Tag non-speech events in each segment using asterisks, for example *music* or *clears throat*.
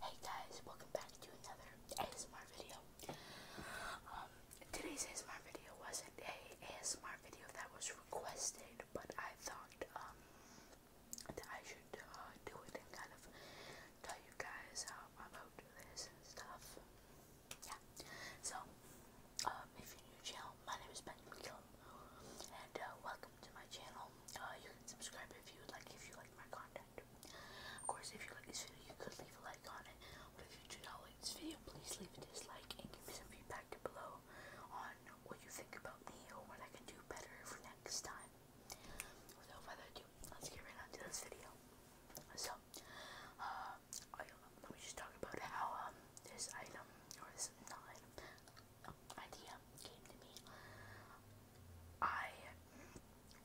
Hey guys, welcome back to another ASMR video. Um, today's ASMR video wasn't a ASMR video that was requested, but I thought um, that I should uh, do it and kind of tell you guys um, about this and stuff. Yeah. So, um, if you're new to channel, my name is Benjamin McKillum, and uh, welcome to my channel. Uh, you can subscribe if you would like, if you like my content. Of course, if you like this video, you could leave a like on it. But if you do not like this video, please leave a dislike and give me some feedback below on what you think about me or what I can do better for next time. Without further ado, let's get right on this video. So, uh, let me just talk about how um, this item, or this idea came to me. I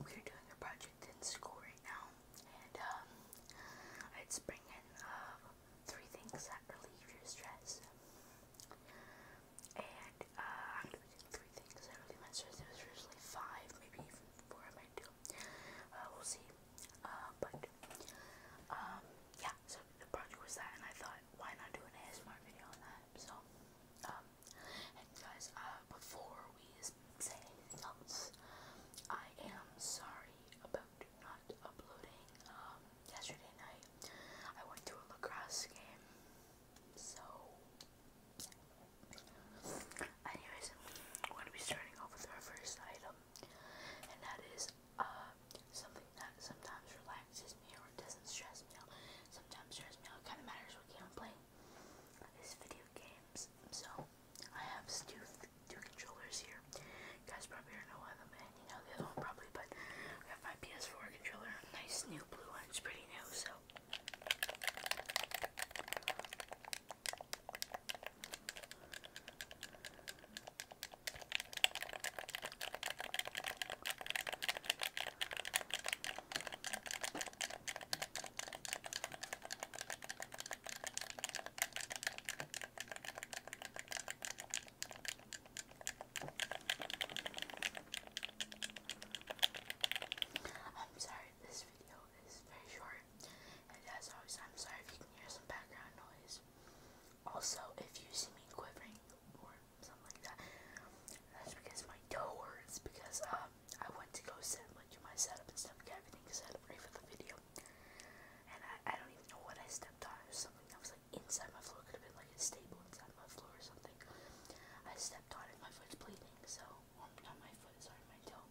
we're doing a project in school right now, and um, it's bringing uh, three things that relieve your stress. And uh, I'm doing three things that relieve my stress. It was originally five, maybe four. I might do. Uh, we'll see. Uh, but um, yeah. So the project was that, and I thought, why not do an ASMR video on that? So um, guys, uh, before we say anything else, I am sorry about not uploading um, yesterday night. I went to a lacrosse game, so. Anyways, I'm going to be starting off with our first item, and that is uh, something that sometimes relaxes me or doesn't stress me out. Sometimes stress me out. It kind of matters what game I'm playing is video games. So I have two two controllers here. You guys probably don't know one of them, and you know the other one probably, but I have my PS4 controller, nice new blue one. It's pretty new, so. I'm sorry this video is very short and as always I'm sorry if you can hear some background noise. Also if you see me quivering or something like that that's because my toe hurts because uh I went to go set like do my setup and stuff, get everything set up ready for the video. And I, I don't even know what I stepped on. It something that was like inside my floor. Could have been like a staple inside my floor or something. I stepped on it. My foot's bleeding. So well, not my foot. Sorry, my toe.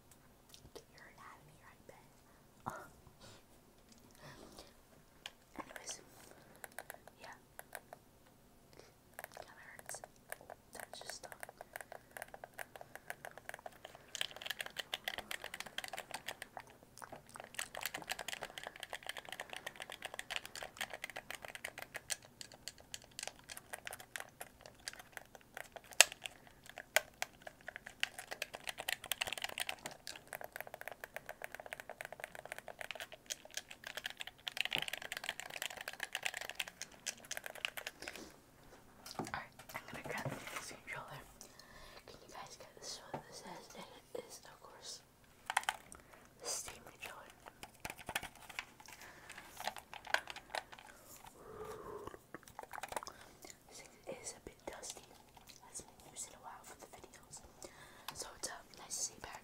Get your anatomy right, Ben. *laughs* Anyways, yeah. That hurts. That just stung. Alright, I'm gonna grab the next controller. Can you guys get this one? This says, it is, of course, the Steam controller. Since it is a bit dusty, that's been used in a while for the videos. So it's uh, nice to see back.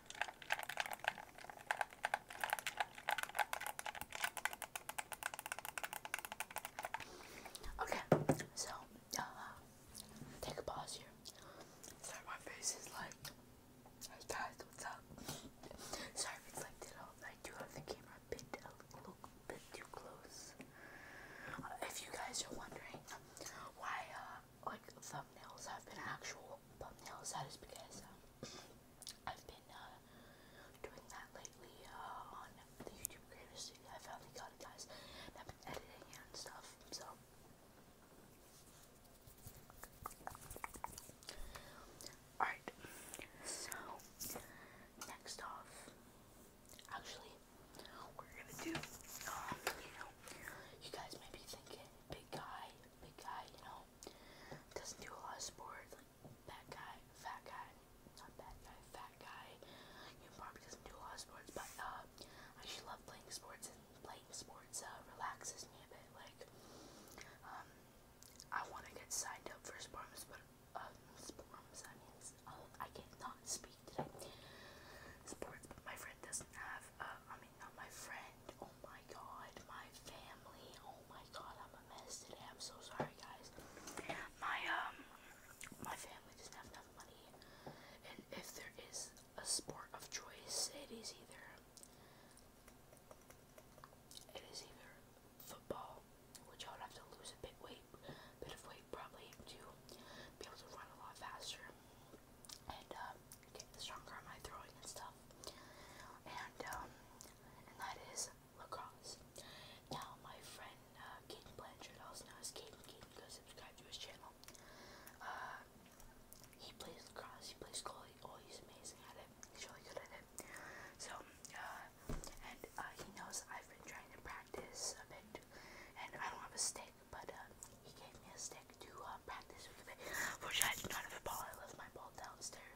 Okay, so uh, take a pause here. Sorry, my face is like, guys, what's up? Sorry if it's like that. I do have the camera a bit a little bit too close. Uh, if you guys are wondering why, uh, like thumbnails have been actual thumbnails, that is because. Um, I've been uh, doing that lately uh, on the YouTube Creators I finally got it, guys. I've been editing and stuff, so. Alright, so next off, actually, we're gonna do, um, you know, you guys may be thinking, big guy, big guy, you know, doesn't do a lot of sports. Like that guy, fat guy, not bad guy, fat guy. You probably doesn't do a lot of sports, but uh, I actually love playing sports, and playing sports uh, relaxes me a bit. Like, um, I want to get signed up for sports, but um, uh, sports. I mean, uh, I can speak today. Sports, but my friend doesn't have. Uh, not my friend. Oh my god, my family. Oh my god, I'm a mess today. I'm so sorry, guys. My um, my family doesn't have enough money, and if there is a sport of choice, it is either it is either football, which I would have to lose a bit weight, bit of weight probably to be able to run a lot faster, and uh, get stronger on my throwing and stuff. And um, and that is lacrosse. Now my friend uh, Blanchard, also known as Caden, Caden, go subscribe to his channel. Uh, he plays lacrosse. He plays goalie. Oh, he's amazing at it. He's really good at it. So uh, and uh, he knows I've been trying to practice a bit, and I don't have a stick, but uh, he gave me a stick to uh, practice with which I do not have a ball. I left my ball downstairs.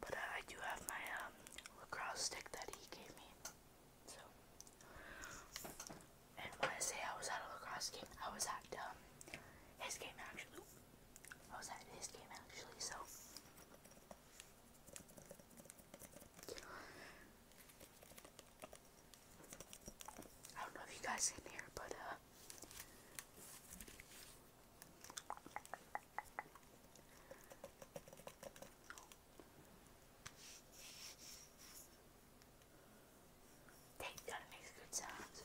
But uh, I do have my um, lacrosse stick that he gave me. So, and when I say I was at lacrosse game, I was at um, his game actually. I was at his game actually. So. I don't know if you guys can hear, but uh, Dang, that makes good sounds.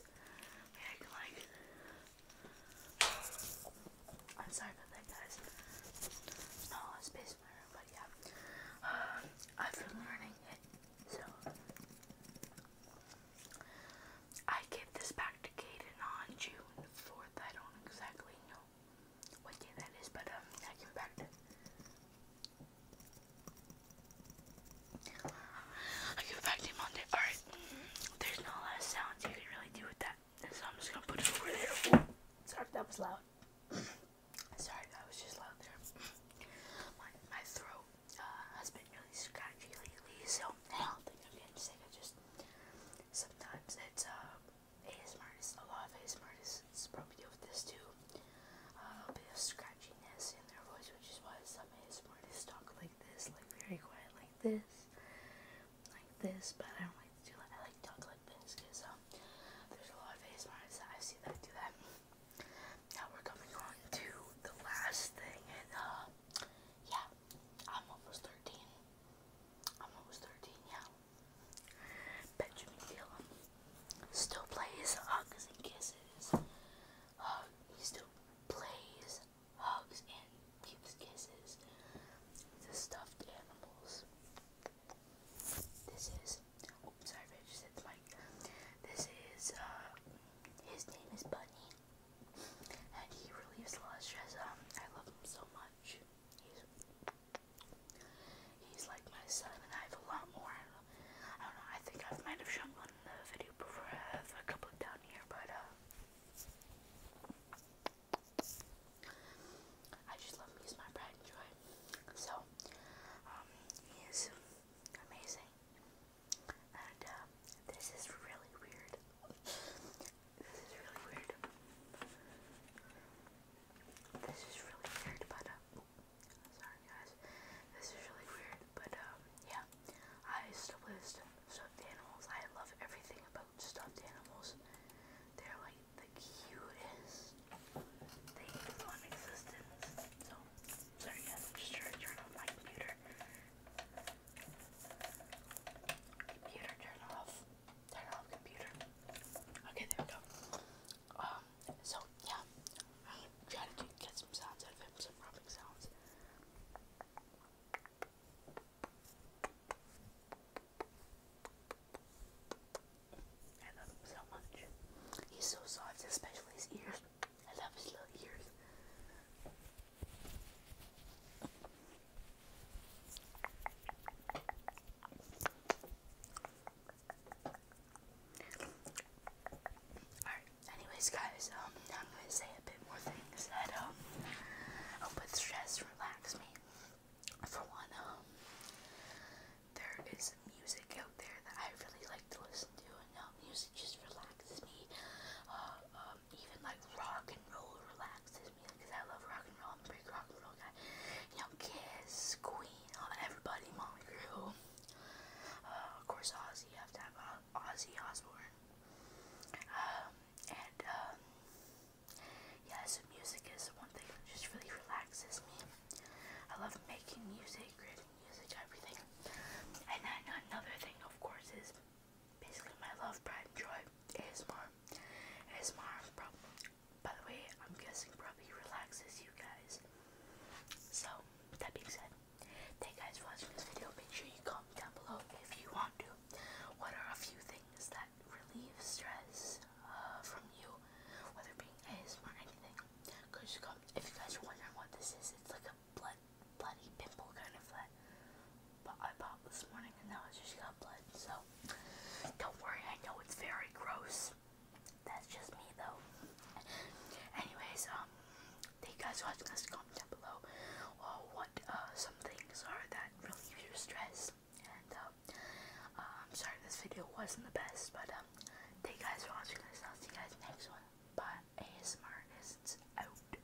I can like. I'm sorry about that, guys. There's not a space in my room, but yeah. *sighs* I've been learning it, so. I gave this back to Kaden on June 4th. I don't exactly know what day that is, but um, I came back to I give it back to him on there. Alright, mm-hmm. there's not a lot of sounds you can really do with that. So I'm just gonna put it over there. Sorry, that was loud. *clears throat* Sorry, that was just loud there. *clears throat* My, my throat uh, has been really scratchy lately, so I don't think I'm getting sick. I just sometimes it's uh ASMR is a lot of ASMR is probably deal with this too. Uh, a bit of scratchiness in their voice, which is why some ASMR just talk like this, like very quiet, like this, like this. But I don't like to like talk like this because um there's a lot of ASMR that I see that do that. Now we're coming on to the last thing, and uh, yeah, I'm almost 13. I'm almost 13, yeah. Benjamin still plays Hugs and Kisses. he still plays Hugs and gives kisses The stuffed animals. This is, oops, sorry if just hit the This is, uh, his name is Bunny and he relieves a lot of stress. Um, I love him so much. He's he's like my son, and I have a lot more. I don't, I don't know. I think I might have shown one in the video before. I have a couple down here, but uh, I just love him. He's my pride and joy. So, um, he is amazing. Um, this is really weird. this is really weird. This is really weird, but um, sorry guys. This is really weird, but um, yeah. I still play stuffed animals. I love everything about stuffed animals. They're like the cutest things on existence. So, sorry guys, I'm just trying to turn on my computer. Computer, turn off. Turn off computer. Okay, there we go. Um, so yeah, trying to get some sounds out of him, some rubbing sounds. I love him so much. He's so soft, especially his ears. I love his little ears. Alright, anyways guys, um I'm gonna say a bit more things that um help with stress, relax me. For one, um there is music out there that I really like to listen to and um music just relaxes me. Uh, um even like rock and roll relaxes me because I love rock and roll. I'm a big rock and roll guy. You know, Kiss, Queen, everybody, Molly Crew. Uh, of course, Ozzy. You have to have uh, Ozzy Osbourne. Um, and um, yeah, so music is one thing that just really relaxes me. I love making music, creating music, everything. And then another thing, of course, is basically my love, pride, and joy. ASMR. ASMR, probably, by the way, I'm guessing probably relaxes you guys. So, that being said, thank you guys for watching this video. Make sure you comment down below if you want to. What are a few things that relieve stress uh, from you, whether being ASMR or anything? Go just If you guys are wondering what this is, it's like a blood, bloody pimple kind of flat. But I popped this morning and now it's just got blood. So don't worry, I know it's very gross. That's just me though. Anyways, um, thank you guys for watching this. Comment down below what uh, some things are that relieve your stress. And um, uh, I'm sorry this video wasn't the best, but um, thank you guys for watching this. I'll see you guys next one. Bye. ASMR is out.